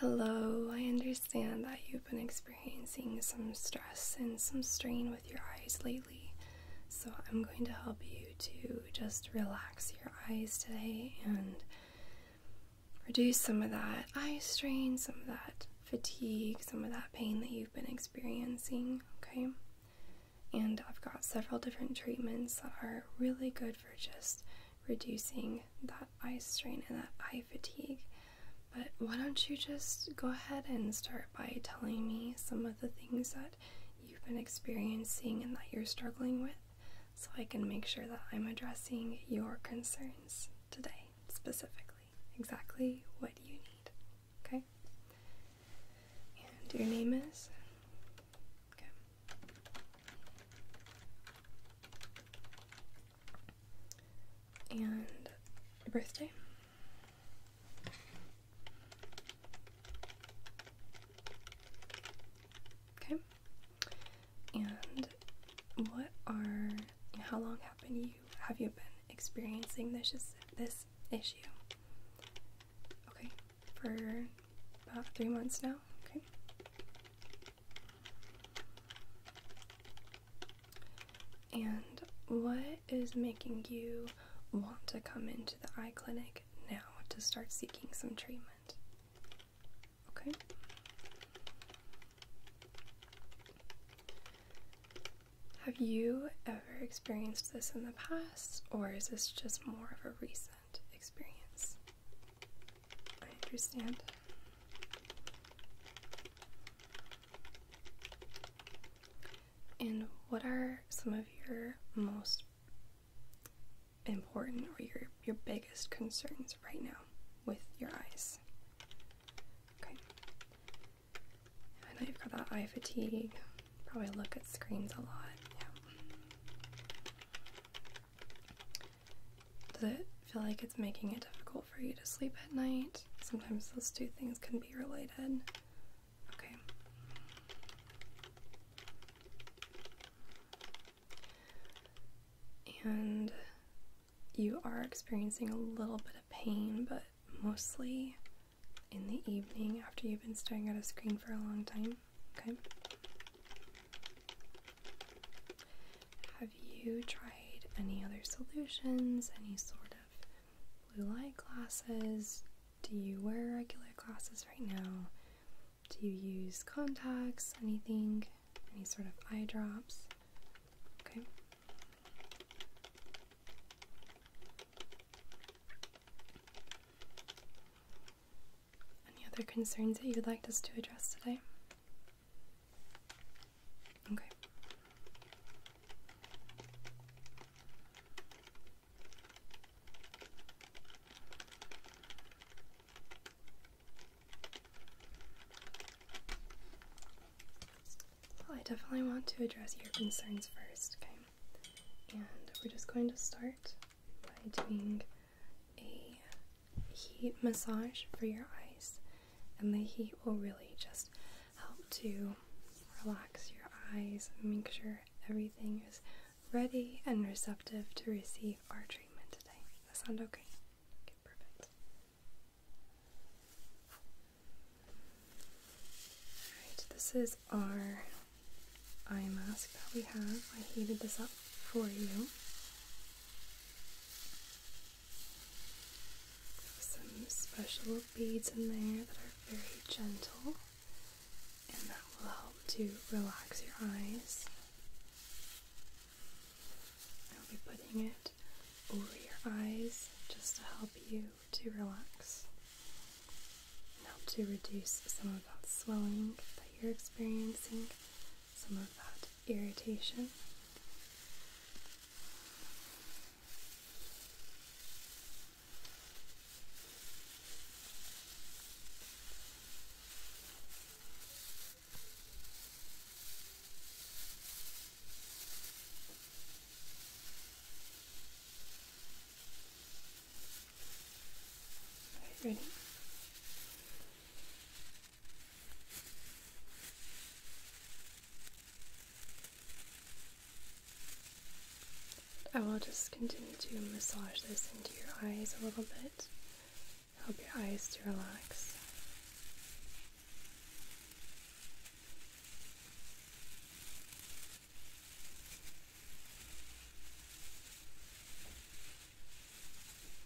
Hello, I understand that you've been experiencing some stress and some strain with your eyes lately, so I'm going to help you to just relax your eyes today and reduce some of that eye strain, some of that fatigue, some of that pain that you've been experiencing, okay? And I've got several different treatments that are really good for just reducing that eye strain and that eye fatigue. But why don't you just go ahead and start by telling me some of the things that you've been experiencing and that you're struggling with so I can make sure that I'm addressing your concerns today specifically. Exactly what you need. Okay? And your name is? and your birthday. Okay. And what are how long have been you have you been experiencing this this issue? Okay, for about three months now. Okay. And what is making you want to come into the eye clinic now to start seeking some treatment? Okay. Have you ever experienced this in the past, or is this just more of a recent experience? I understand. And what are some of your most important or your, your biggest concerns right now with your eyes? Okay. I know you've got that eye fatigue, probably look at screens a lot. Yeah. Does it feel like it's making it difficult for you to sleep at night? Sometimes those two things can be related. Okay. And you are experiencing a little bit of pain, but mostly in the evening after you've been staring at a screen for a long time. Okay. Have you tried any other solutions? Any sort of blue light glasses? Do you wear regular glasses right now? Do you use contacts? Anything? Any sort of eye drops? Okay. Any other concerns that you'd like us to address today? Okay. Well, I definitely want to address your concerns first, okay? And we're just going to start by doing a heat massage for your eyes, and the heat will really just help to relax your eyes and make sure everything is ready and receptive to receive our treatment today. that sound okay? Okay, perfect. Alright, this is our eye mask that we have. I heated this up for you some special beads in there that are very gentle and that will help to relax your eyes. I'll be putting it over your eyes just to help you to relax and help to reduce some of that swelling that you're experiencing, some of that irritation. ready? I will just continue to massage this into your eyes a little bit. Help your eyes to relax.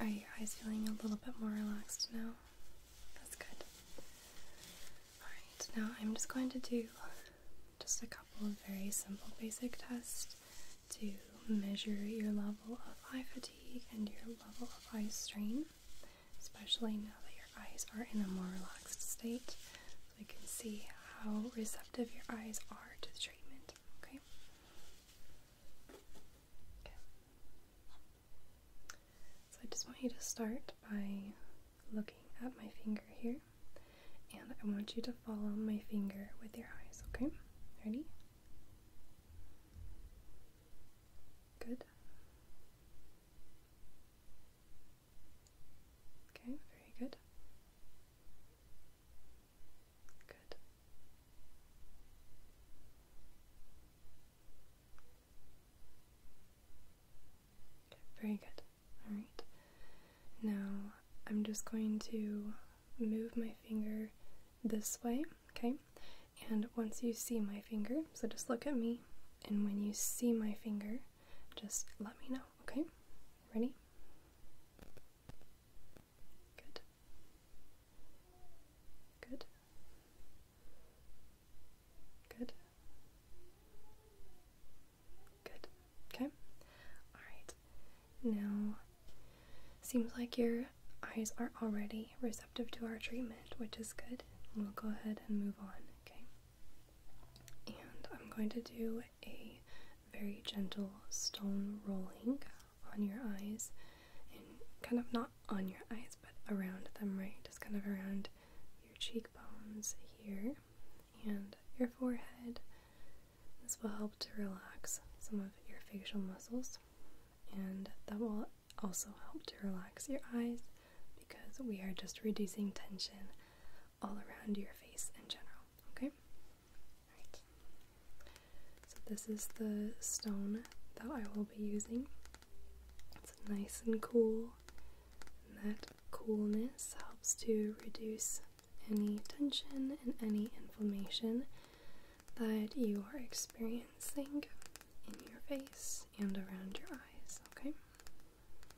Are your eyes feeling a little bit more relaxed now? That's good. Alright, now I'm just going to do just a couple of very simple basic tests to measure your level of eye fatigue and your level of eye strain especially now that your eyes are in a more relaxed state. So we can see how receptive your eyes are to the treatment. Okay. Okay. So I just want you to start by looking at my finger here, and I want you to follow my finger with your eyes. Okay. Ready? Good. Okay, very good. Good. Very good. All right. Now I'm just going to move my finger this way, okay? And once you see my finger, so just look at me, and when you see my finger, just let me know, okay? Ready? Good. Good. Good. Good. Okay. Alright. Now, seems like your eyes are already receptive to our treatment, which is good. We'll go ahead and move on, okay? And I'm going to do a very gentle stone rolling on your eyes and kind of not on your eyes but around them, right? Just kind of around your cheekbones here and your forehead. This will help to relax some of your facial muscles and that will also help to relax your eyes because we are just reducing tension all around your face in general, okay? Right. So this is the stone that I will be using. It's nice and cool. And that coolness helps to reduce any tension and any inflammation that you are experiencing in your face and around your eyes, okay?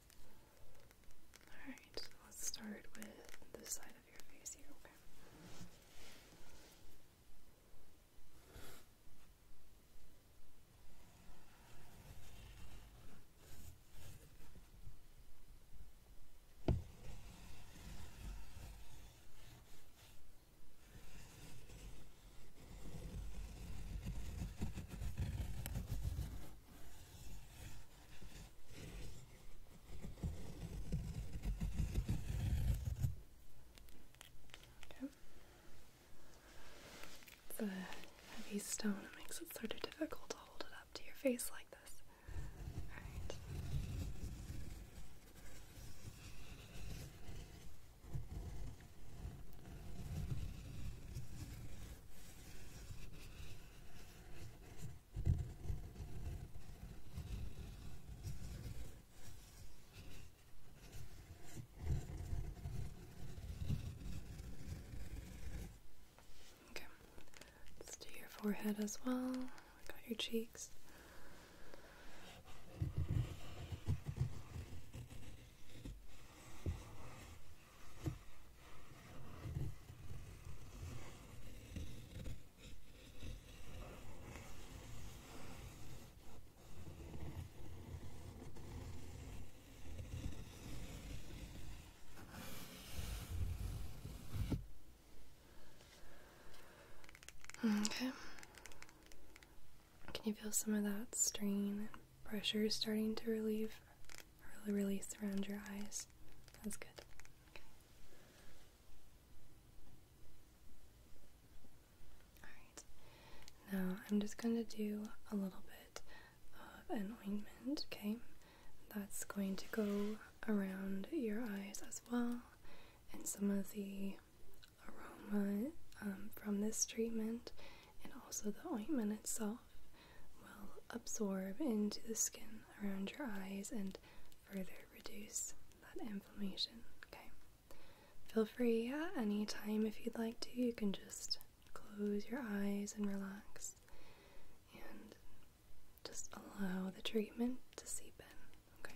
Alright, let's start with this side of your face here, Okay. Okay. It's a heavy stone, it makes it sort of difficult to hold it up to your face like this. Okay, let's do your forehead as well. Got your cheeks. Okay. Can you feel some of that strain and pressure starting to relieve? really release around your eyes. That's good. Okay. Alright, now I'm just going to do a little bit of an ointment, okay? That's going to go around your eyes as well, and some of the aroma um, from this treatment and also the ointment itself will absorb into the skin around your eyes and further reduce that inflammation. Okay. Feel free at any time if you'd like to. You can just close your eyes and relax and just allow the treatment to seep in. Okay.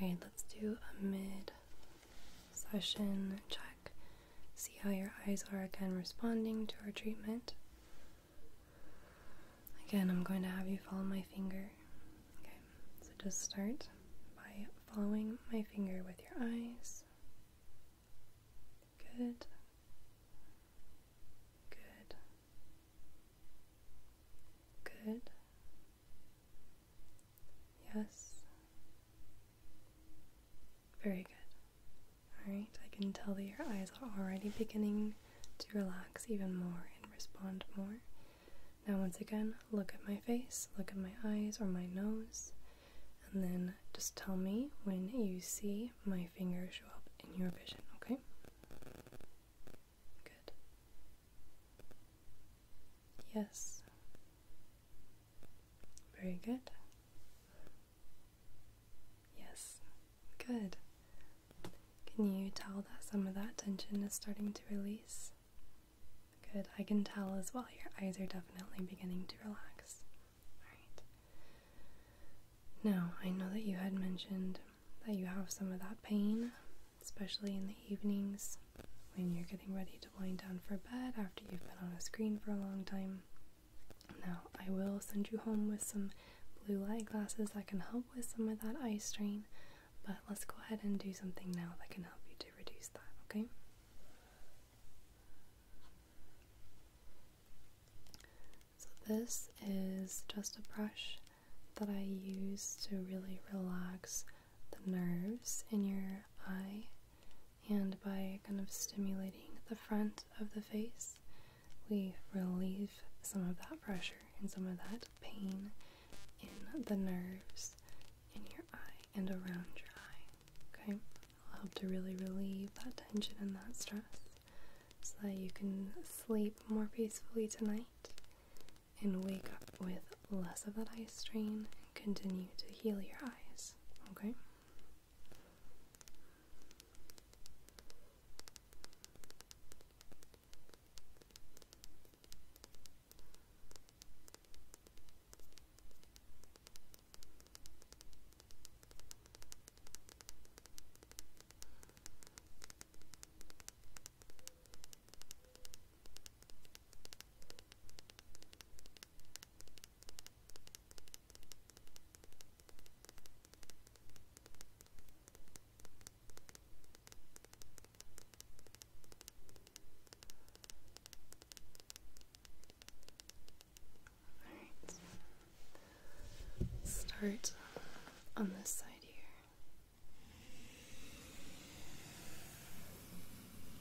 Alright, let's do a mid session check. See how your eyes are again responding to our treatment. Again, I'm going to have you follow my finger. Okay, so just start by following my finger with your eyes. Good. Good. Good. Yes. Very good. Alright, I can tell that your eyes are already beginning to relax even more and respond more. Now, once again, look at my face, look at my eyes or my nose, and then just tell me when you see my fingers show up in your vision, okay? Good. Yes. Very good. Yes, good. Can you tell that some of that tension is starting to release? Good, I can tell as well. Your eyes are definitely beginning to relax. Alright. Now, I know that you had mentioned that you have some of that pain, especially in the evenings when you're getting ready to wind down for bed after you've been on a screen for a long time. Now, I will send you home with some blue light glasses that can help with some of that eye strain, but let's go ahead and do something now that can help you to reduce that, okay? So, this is just a brush that I use to really relax the nerves in your eye and by kind of stimulating the front of the face, we relieve some of that pressure and some of that pain in the nerves in your eye and around your eye. Okay? it help to really relieve that tension and that stress so that you can sleep more peacefully tonight and wake up with less of that eye strain continue to heal your eyes, okay? Alright. Start on this side here.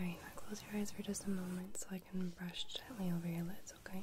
Alright, close your eyes for just a moment so I can brush gently over your lids, okay?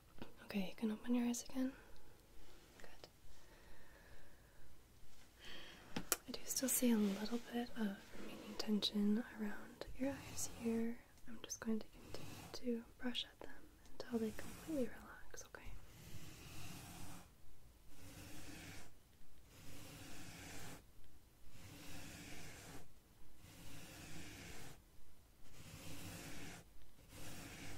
Okay, you can open your eyes again. Good. I do still see a little bit of remaining tension around your eyes here. I'm just going to continue to brush at them until they completely relax, okay? Okay,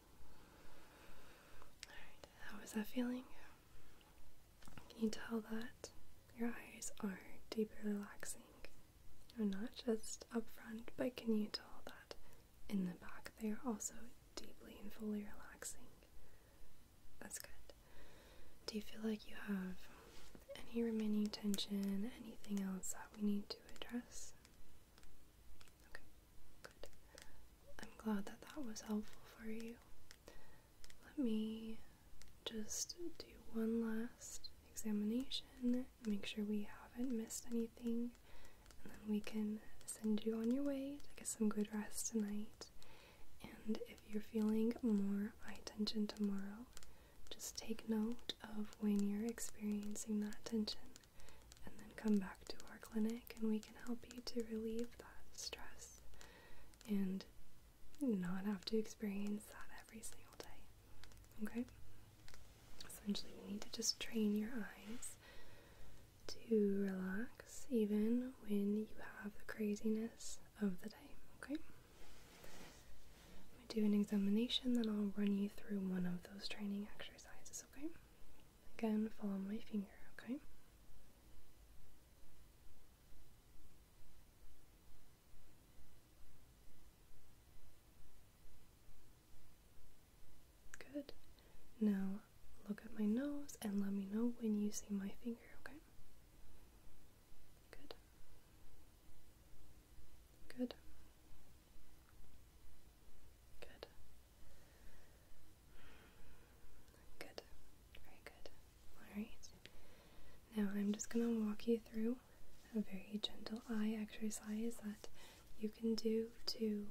Alright, how is that feeling? Can you tell that your eyes are deeply relaxing? Or not just up front, but can you tell that in the back they are also deeply and fully relaxing? That's good. Do you feel like you have any remaining tension, anything else that we need to address? Okay. Good. I'm glad that that was helpful for you. Let me just do one last examination, make sure we haven't missed anything, and then we can send you on your way to get some good rest tonight. And if you're feeling more eye tension tomorrow, just take note of when you're experiencing that tension and then come back to our clinic and we can help you to relieve that stress and not have to experience that every single day. Okay? Essentially, you need to just train your eyes to relax even when you have the craziness of the day. Okay? We do an examination, then I'll run you through one of those training exercises. Okay? Again, follow my finger, okay? Good. Now look at my nose and let me know when you see my finger, okay? Good. Good. Good. Good. Very good. Alright. Now I'm just going to walk you through a very gentle eye exercise that you can do to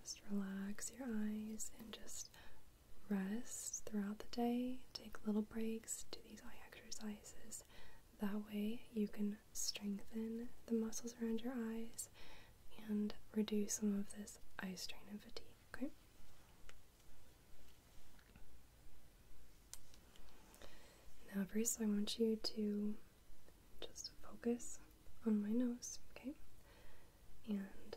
just relax your eyes and just rest throughout the day. Take little breaks, do these eye exercises. That way, you can strengthen the muscles around your eyes and reduce some of this eye strain and fatigue. Okay. Now, first, I want you to just focus on my nose, okay? And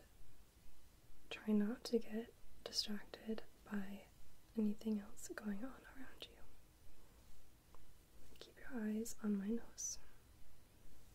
try not to get distracted by anything else going on around you. Keep your eyes on my nose.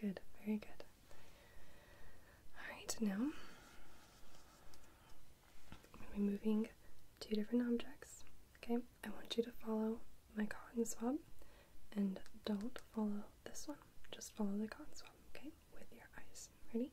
Good, very good. Alright, now I'm going to be moving two different objects. Okay, I want you to follow my cotton swab and don't follow this one. Just follow the cotton swab, okay, with your eyes. Ready?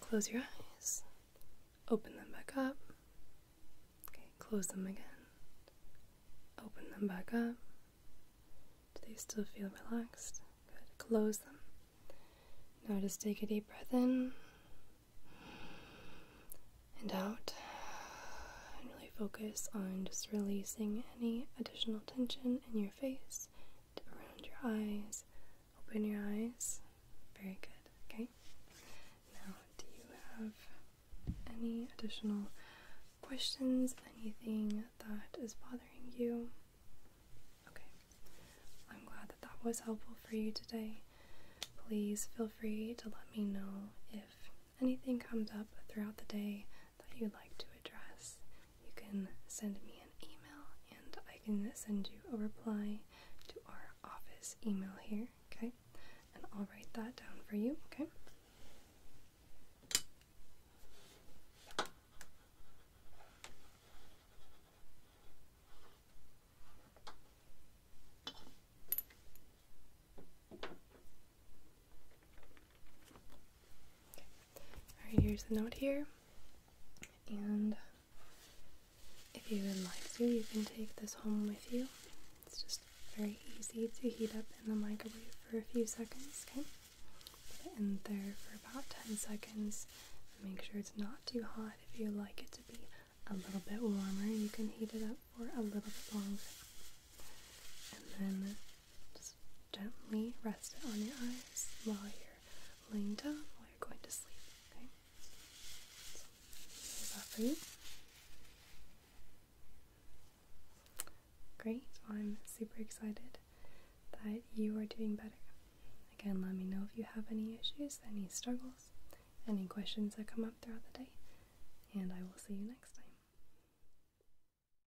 close your eyes. Open them back up. Okay, close them again. Open them back up. Do they still feel relaxed? Good. Close them. Now just take a deep breath in and out focus on just releasing any additional tension in your face, around your eyes. Open your eyes. Very good. Okay. Now, do you have any additional questions? Anything that is bothering you? Okay. I'm glad that that was helpful for you today. Please feel free to let me know if anything comes up throughout the day that you'd like to address you can send me an email and I can send you a reply to our office email here, okay? And I'll write that down for you, okay? Alright, here's the note here. And if you would like to, you can take this home with you. It's just very easy to heat up in the microwave for a few seconds, okay? Put it in there for about 10 seconds. Make sure it's not too hot. If you like it to be a little bit warmer, you can heat it up for a little bit longer. And then just gently rest it on your eyes while you're laying down, while you're going to sleep. Okay? So, that for Great. Well, I'm super excited that you are doing better. Again, let me know if you have any issues, any struggles, any questions that come up throughout the day, and I will see you next time.